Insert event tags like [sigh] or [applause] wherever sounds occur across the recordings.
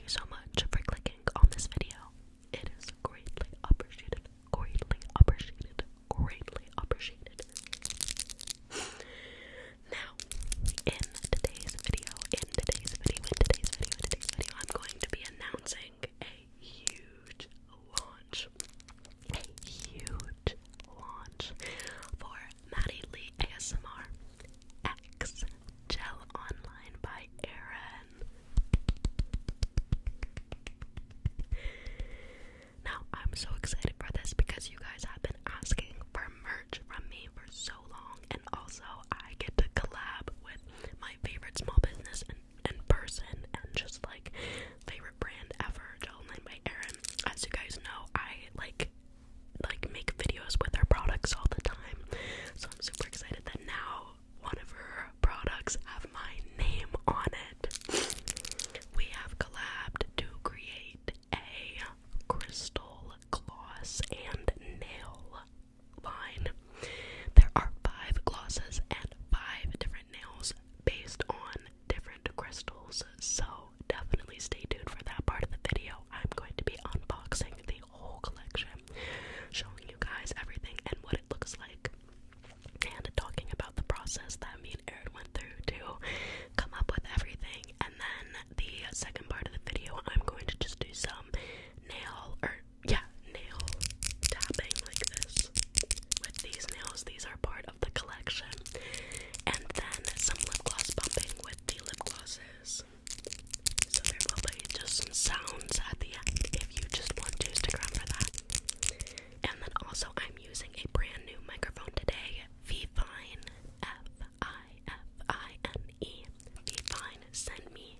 thank you so much for clicking on this video. It is greatly appreciated, greatly appreciated, greatly appreciated. now, in today's video, in today's video, in today's video, in today's video, I'm going to be announcing a huge launch. A huge launch for Maddie Lee ASMR. X Gel Online by Erin. Now, I'm so excited for this because you guys have been asking for merch from me for so long, and also I get to collab with my favorite small business in, in person and just like favorite brand ever, Gel Online by Erin. As you guys know, I like like make videos with her products all the time. So I'm super excited that now one of her products have my name on it. We have collabed to create a crystal gloss and nail line. There are five glosses and five different nails based on different crystals. So definitely stay tuned for that part of the video. I'm going to be unboxing the whole collection, showing you guys everything and what it looks like, and talking about the process that me and Erin went through to come up with everything. And then the second part of the video, I'm going to just do some nail or yeah, nail tapping like this with these nails. These are part of the collection, and then some lip gloss bumping with the lip glosses. So there will be just some sounds at the end if you just want to stick around for that. And then also I'm using a brand new microphone today, Vfine F-I-F-I-N-E. Vfine sent me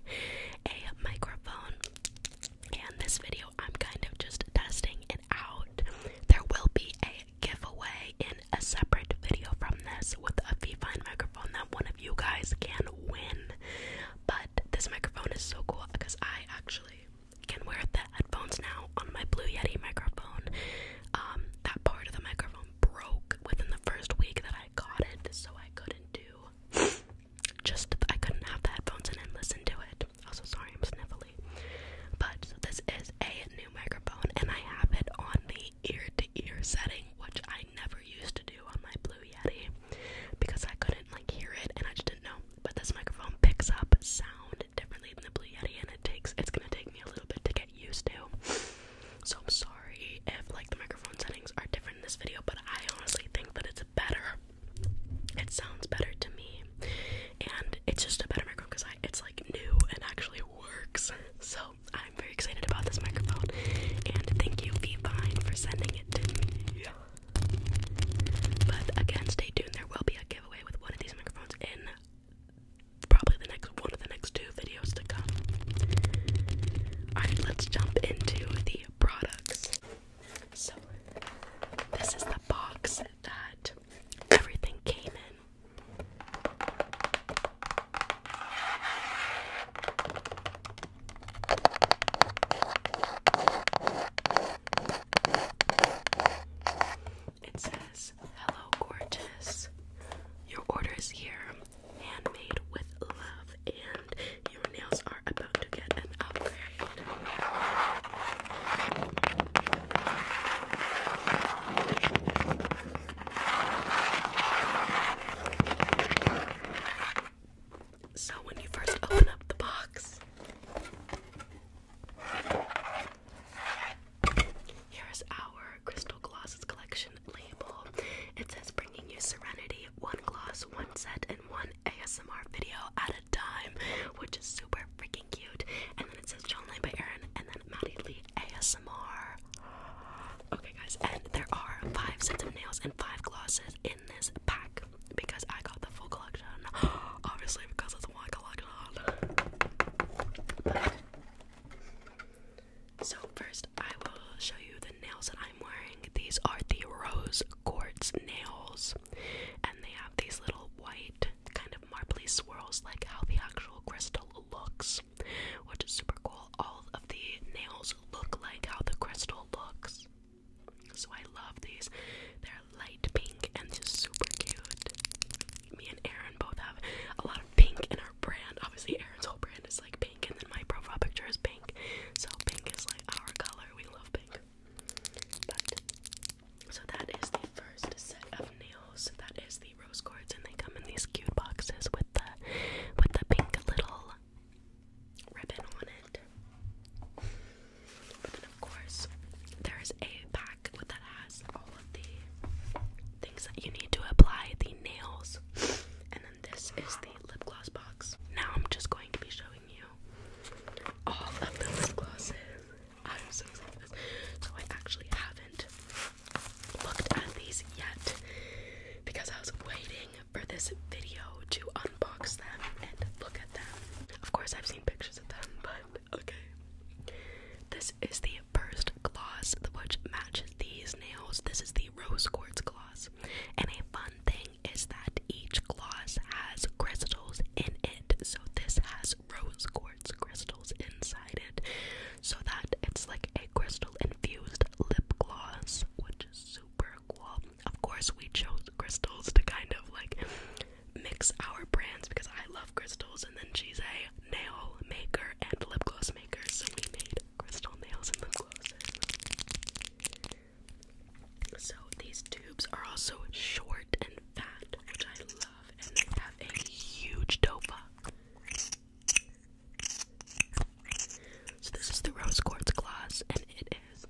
a microphone. And this video I'm kind of just testing it out. There will be a giveaway in a separate video from this with a Vivine microphone that one of you guys can win. But this microphone is so cool because I actually can wear the headphones now on my Blue Yeti microphone. Um, that part of the microphone broke within the first week that I got it, so I couldn't do [sniffs] just I couldn't have the headphones and listen to it. Also, sorry I'm sniffly. But so this is a new microphone, and I have it on the ear to ear setting, which I never used to do on my Blue Yeti because I couldn't like hear it and I just didn't know. But this microphone picks up sound differently than the Blue Yeti, and it takes it's gonna take me a little bit to get used to. So I'm sorry if like the microphone settings are different in this video, but I honestly think that it's better. It sounds better to me, and it's just a better microphone because it's like new and actually works. So I'm very excited about this microphone, and thank you, Vivine, for sending it to me. But again, stay tuned. There will be a giveaway with one of these microphones in probably the next one of the next two videos to come. All right, let's jump into the products. So this is the box that everything came in. It says, Hello, gorgeous. Your order is here, handmade with love, and your nails are about to get an upgrade. So, when you first open up the box, here is our Crystal Glosses Collection label. It says bringing you serenity, one gloss, one set, and one ASMR video at a time, which is super freaking cute. And then it says John Lane by Erin, and then Maddie Lee ASMR. Okay, guys, and there are five sets of nails and five glosses in this pack because I got the full collection. [gasps] Obviously, because it's one collection. so first, I will show you the nails that I'm wearing. These are the rose quartz nails, and they have these little white kind of marbly swirls, like how the actual crystal looks which is super cool. All of the nails look like how the crystal looks. So I love these. They're light pink and just super cute. Me and Aaron both have a lot of pink in our brand. Obviously, Aaron's whole brand is like pink, and then my profile picture is pink. So pink is like our color. We love pink. But so that is the first set of nails. That is the rose quartz, and they come in these cute boxes with the with the pink little ribbon on it. But of course, there is a pack that has all of the things that you need to apply the nails, and then this is the lip gloss box. Now I'm just going to be showing you all of the lip glosses. I'm so excited. So I actually haven't looked at these yet because I was waiting for this video to unbox them and look at them. Of course, I've seen pictures of them, but okay. This is the first gloss which matches these nails. This is the rose quartz gloss. And a fun thing is that each gloss has crystals in it. So this has rose quartz crystals inside it so that it's like a crystal infused lip gloss, which is super cool. Of course, we chose crystals to kind of like mix our brands because I love crystals, and then she's a nail maker and lip gloss maker, so we made crystal nails and lip glosses. So these tubes are also short and fat, which I love, and they have a huge dopa. So this is the rose quartz gloss, and it is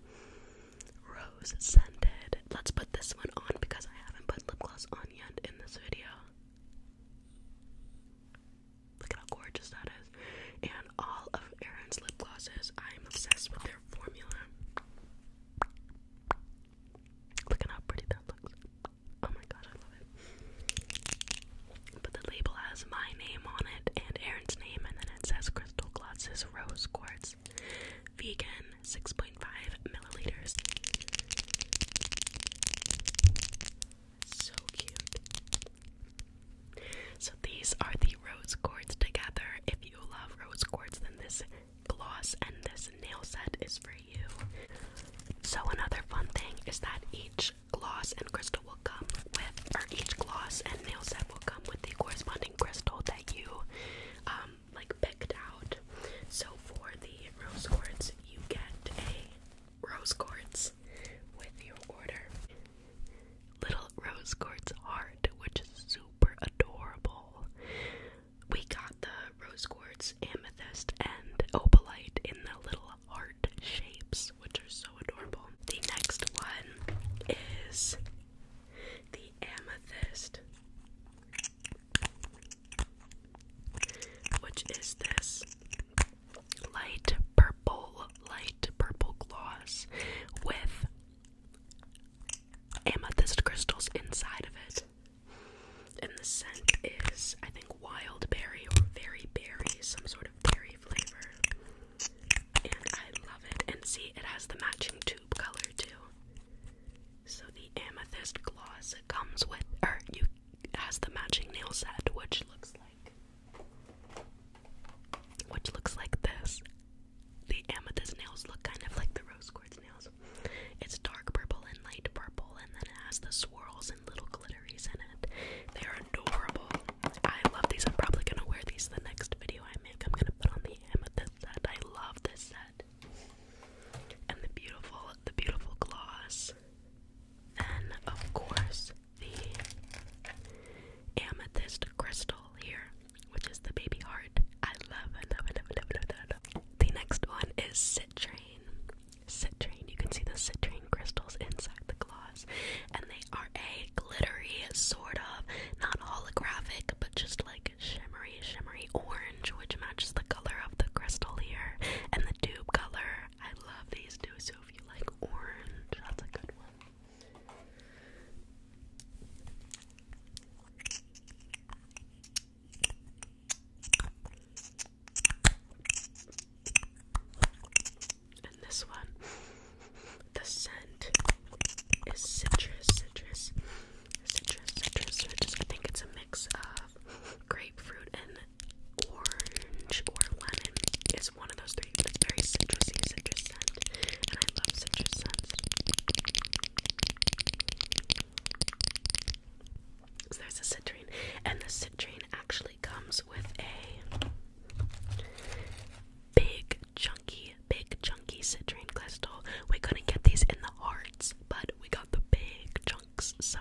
rose scented. Let's put this one on because I haven't put lip gloss on yet in this video. Look at how gorgeous that is. And all of Erin's lip glosses, I'm obsessed with their formula. Look at how pretty that looks. Oh my gosh, I love it. But the label has my name on it and Aaron's name, and then it says Crystal Glosses Rose Quartz Vegan 6.5 milliliters. So cute. So these are the rose quartz together. If you love rose quartz, then this gloss and this nail set is for you. So another fun thing is that each gloss and crystal will come with, or each gloss and nail set will come with the corresponding crystal that you um, like picked out. So for the rose quartz, you get a rose quartz with your order. Little rose quartz heart, which is super adorable. We got the rose quartz amethyst and opalite in the little heart shapes, which are so adorable. The next one is the amethyst, which is this light purple, light purple gloss with amethyst crystals inside of it. And the scent is, I think, wild berry or very berry, some sort of berry flavor. And I love it. And see, it has the matching tube color too. So the amethyst gloss comes with, or you has the matching nail set, which looks like, which looks like this. The amethyst nails look kind of like the rose quartz nails. It's dark purple and light purple, and then it has the swirls little glitteries in it. They're adorable. I love these. I'm probably gonna wear these the next video I make. I'm gonna put on the amethyst set. I love this set. And the beautiful, the beautiful gloss. Then of course the amethyst crystal here, which is the baby heart. I love, I love, I love, I I love, I The next one is Citrine citrine. You can see the citrine crystals inside the glass, and they are a glittery, sort of not holographic, but just like shimmery, shimmery orange, which matches the color of the crystal here and the tube color. I love these too. So if you like orange, that's a good one. And this one, the scent is citrus, citrus, citrus, citrus, citrus. I think it's a mix of grapefruit and orange or lemon. It's one of those three, but it's very citrusy, citrus scent. And I love citrus scents. So there's a citrine, and the citrine actually comes with a big chunky, big chunky citrine crystal. We couldn't get these in the hearts, but we got the big chunks, so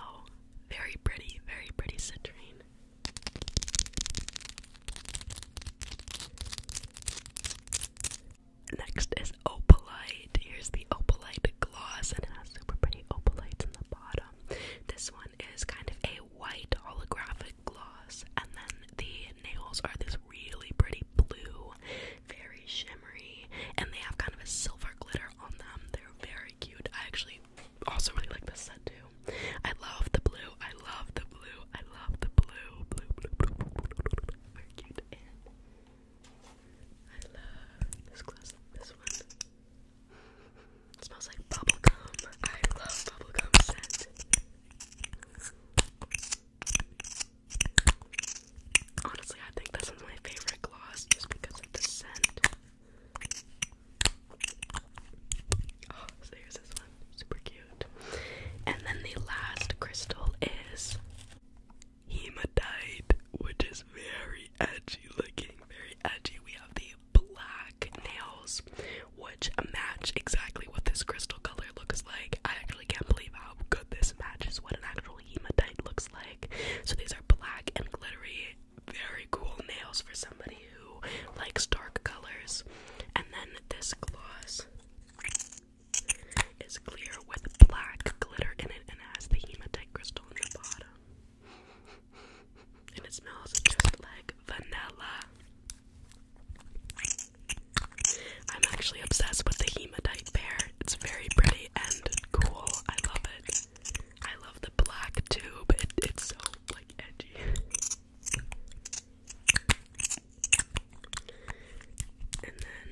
very pretty, very pretty citrine. Next is opalite. Here's the opalite gloss, and it has super pretty opalites in the bottom them. This one is kind of a white holographic gloss, and then the nails are this really pretty blue, very shimmery, and they have kind of a silver glitter on them. They're very cute. I actually also really like this set too. I love the blue. I love the blue. I love the blue. Blue, blue, blue, blue, blue, blue, blue. Very cute. And I love this glass. This one. It smells like bubblegum. I love bubblegum scent. Honestly, I think this is my favorite gloss just because of the scent. Oh, so here's this one. Super cute. And then the last crystal is hematite, which is very edgy looking. Very edgy. We have the black nails, which match exactly what this crystal color looks like. I actually can't believe how good this matches what an actual hematite looks like. So these are black and glittery, very cool nails for somebody who likes dark colors. And then this gloss is clear with black glitter in it and has the hematite crystal on the bottom and it smells just like vanilla. I'm actually obsessed with the hematite pair. It's very pretty and cool. I love it. I love the black tube. it's so like edgy. And then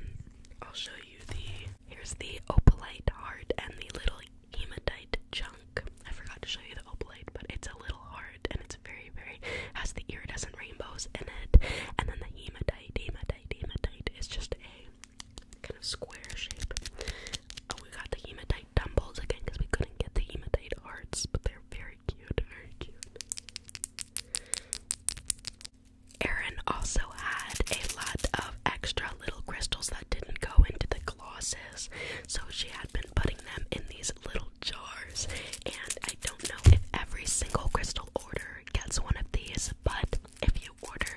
I'll show you the here's the opalite heart and the little hematite chunk. I forgot to show you the opalite, but it's a little hard and it's very, very has the iridescent rainbows in it. And then the hematite, hematite, hematite is just a kind of square shape. Oh, we got the hematite dumbbells again because we couldn't get the hematite hearts, but they're very cute, very cute. Erin also had a lot of extra little crystals that didn't go into the Losses, so she had been putting them in these little jars. And I don't know if every single crystal order gets one of these, but if you order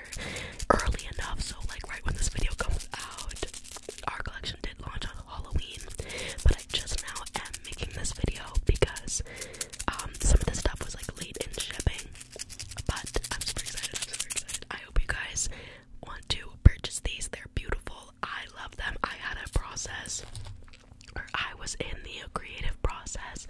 early enough, so like right when this video comes out, our collection did launch on Halloween, but I just now am making this video because um, some of this stuff was like late in shipping. But I'm super excited, I'm super excited. I hope you guys want to purchase these. They're beautiful. I love them. I had a process, or I was in the creative process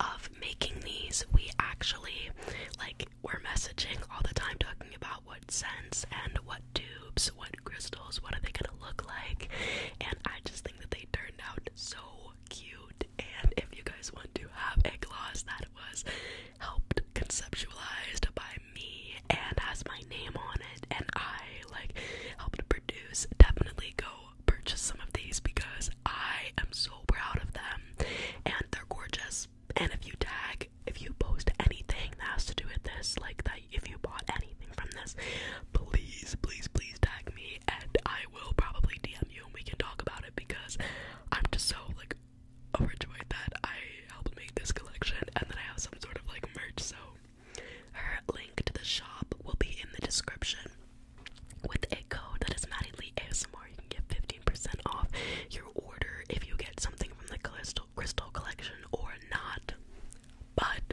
of making these. We actually, like, were messaging all the time talking about what scents and what tubes, what crystals, what are they gonna look like. And I just think that they turned out so cute. And if you guys want to have a gloss that was helped conceptualized by me and has my name on it and I like helped produce. Definitely go purchase some of these because I am so proud of them and they're gorgeous. And if you tag, if you post anything that has to do with this, like that if you bought anything from this, please, please, please tag me and I will probably DM you and we can talk about it because I'm just so like overjoyed that I helped make this collection and then I have some sort of like merch. So, her link to the shop will be in the description with a code that is Maddie Lee ASMR. You can get 15% off your order if you get something from the Crystal, Crystal collection or not. But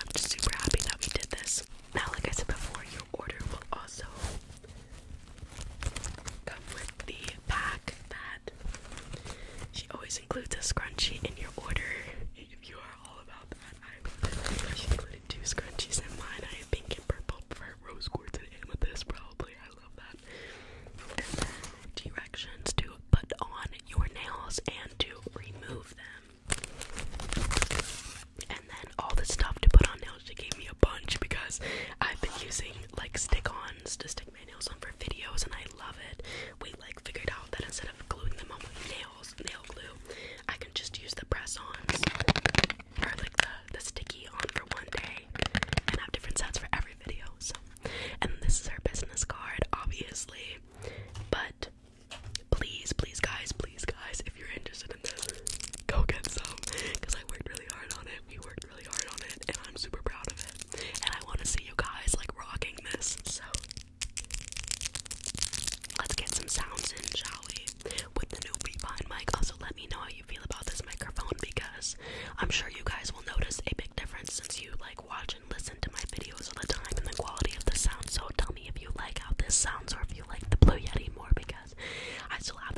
I'm just super happy that we did this. Now, like I said before, your order will also Come with the pack that she always includes a scrunchie in your order. If you are all about that, I she included two scrunchies in mine. I have pink and purple for rose quartz and amethyst, probably. I love that. directions to put on your nails and to remove them. And then all the stuff to put on she gave me a bunch because I've been using like stick-ons to stick my nails on for videos, and I love it. We like figured out that instead of gluing them on with nails, nail glue, I can just use the press-ons or like the the sticky on for one day, and have different sets for every video. So, and this is her business card, obviously, but. Please, please, guys, please, guys, if you're interested in this, go get some because I worked really hard on it. We worked really hard on it, and I'm super proud of it. And I want to see you guys like rocking this. So let's get some sounds in, shall we? With the new Beatpine mic. Also, let me know how you feel about this microphone because I'm sure you guys will notice a big difference since you like watch and listen to my videos all the time and the quality of the sound. So tell me if you like how this sounds or if you like the Blue Yeti more because I still have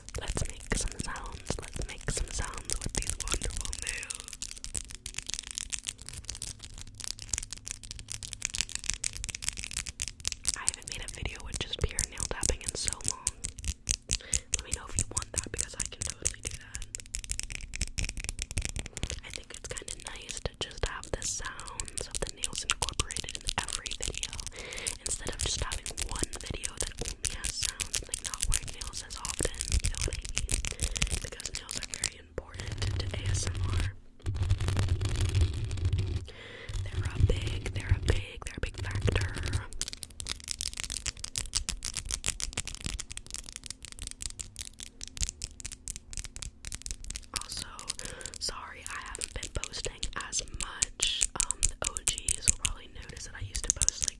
Let's make some sounds. Let's make some sounds with these wonderful nails. I haven't made a video with just pure nail tapping in so long. Let me know if you want that because I can totally do that. I think it's kind of nice to just have the sounds of the nails incorporated in every video instead of just having one video video that only has sounds, like not wearing nails as often, you know what I mean? Because nails are very important to ASMR. They're a big, they're a big, they're a big factor. Also, sorry I haven't been posting as much. Um, the OGs will probably really that I used to post like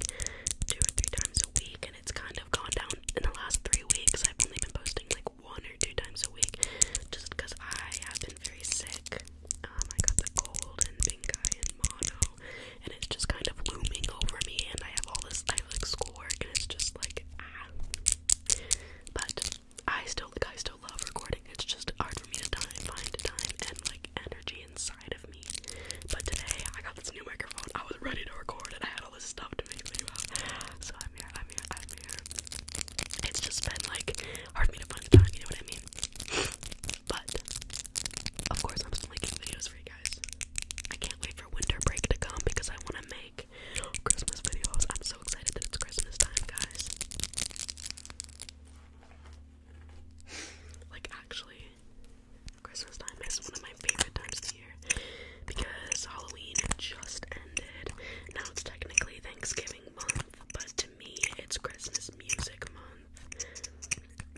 two or three times a week, and it's kind of gone down in the last three weeks. I've only been posting like one or two times a week just because I have been very sick. Um, I got the cold and pink eye and mono, and it's just kind of looming over me. And I have all this, like schoolwork, and it's just like ah. But I still guys, still love recording. It's just hard for me to find time and like energy inside of me. But today I got this new microphone. I was ready to record and I had all this stuff to make video So I'm here, I'm here, I'm here. It's just been like hard for me to find time, you know what I mean? but of course I'm making videos for you guys. I can't wait for winter break to come because I wanna make Christmas videos. I'm so excited that it's Christmas time, guys. Like, actually, Christmas time is one of my favorite times of the year because Halloween just ended. Now it's technically Thanksgiving month, but to me, it's Christmas music month.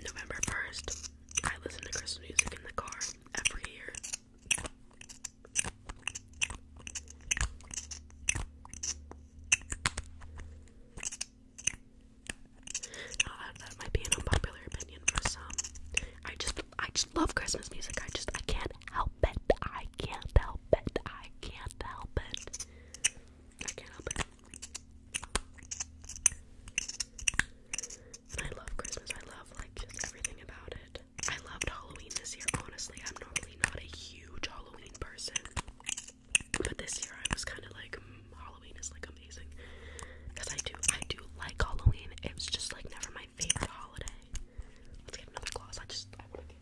November 1st, I listen to Christmas music in the car every year that, might be an unpopular opinion for some. Um, I just I just love Christmas music. I just I can't help it. I can't help it. I can't help it. I can't help it. I love Christmas. I love like just everything about it. I loved Halloween this year. Honestly, I'm normally not a huge Halloween person. But this year I was kind of like Halloween is like amazing because I do I do like Halloween. It's just like never my favorite holiday. Let's get another gloss. I just I want to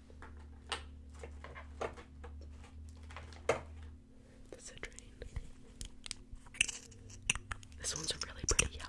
This one's a really pretty yellow.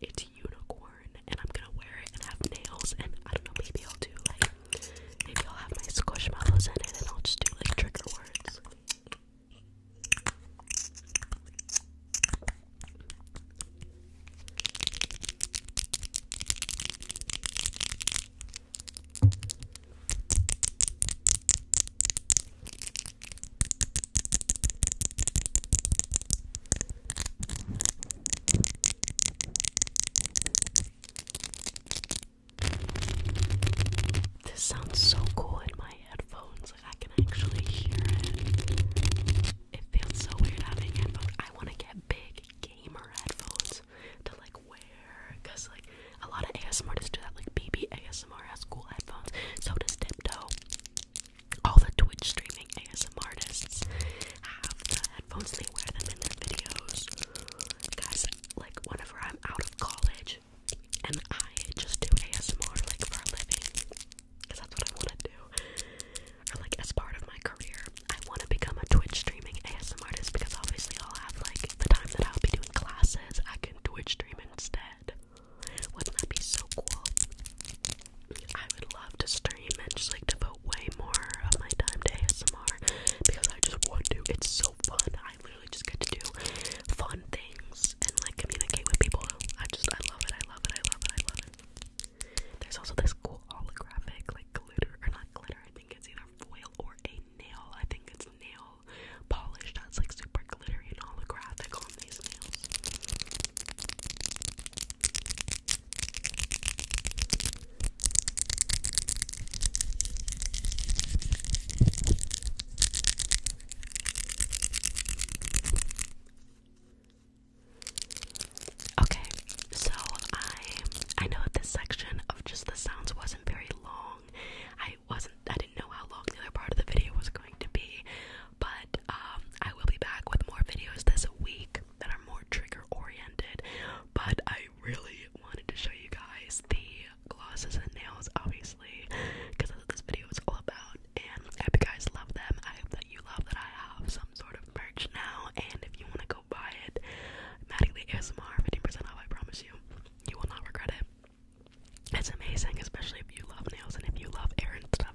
It's unicorn, and I'm gonna wear it and have nails. And I don't know, maybe I'll do like, maybe I'll have my squishy squishmallows in it, and I'll just do like trigger words. This sounds so cool in my headphones. I can actually hear it. It feels so weird having headphones. I want to get big gamer headphones to like wear, cause like a lot of ASMR ASMRtists do that. Like BB ASMR has cool headphones. So does Tiptoe all the Twitch streaming ASM artists have the headphones, they wear them in their videos. Guys, like whenever I'm out of college and I just do ASMR like for a living, because that's what I want to do, like as part of my career, I want to become a Twitch streaming ASM artist because obviously I'll have like the time that I'll be doing classes, I can Twitch stream instead. Wouldn't that be so cool? I would love to stream and just like devote way more of my time to ASMR because I just want to. It's so fun. I literally just get to do fun things and like communicate with people. I just, I love it. I love it. I love it. I love it. There's also this cool holographic, like glitter, or not glitter, I think it's either foil or a nail. I think it's nail polish that's like super super glittery and holographic on these nails. Okay, so I I know this section of just the sounds wasn't very long. I wasn't I didn't know how long the other part of the video was going to be, but um, I will be back with more videos this week that are more trigger oriented. But I really wanted to show you guys the glosses and nails, obviously, because that's what this video is all about. And I hope you guys love them. I hope that you love that I have some sort of merch now. And if you want to go buy it, Maddie Lee ASMR, 15% off, I promise you. You will not regret it. It's amazing, especially if you love nails and if you love air and stuff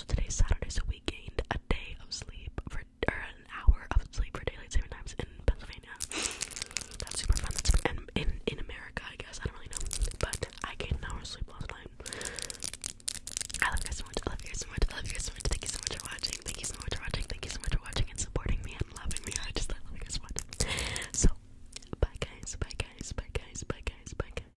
also, today's Saturday, so we gained a day of sleep for or an hour of sleep for daylight saving times in Pennsylvania. That's super fun. That's super, and in in America, I guess I don't really know, but I gained an hour of sleep last night. I love you guys so much. I love you guys so much. I love you guys so much. Thank you so much for watching. Thank you so much for watching. Thank you so much for watching and supporting me and loving me. I just I love you guys so much. So bye guys. Bye guys. Bye guys. Bye guys. Bye guys.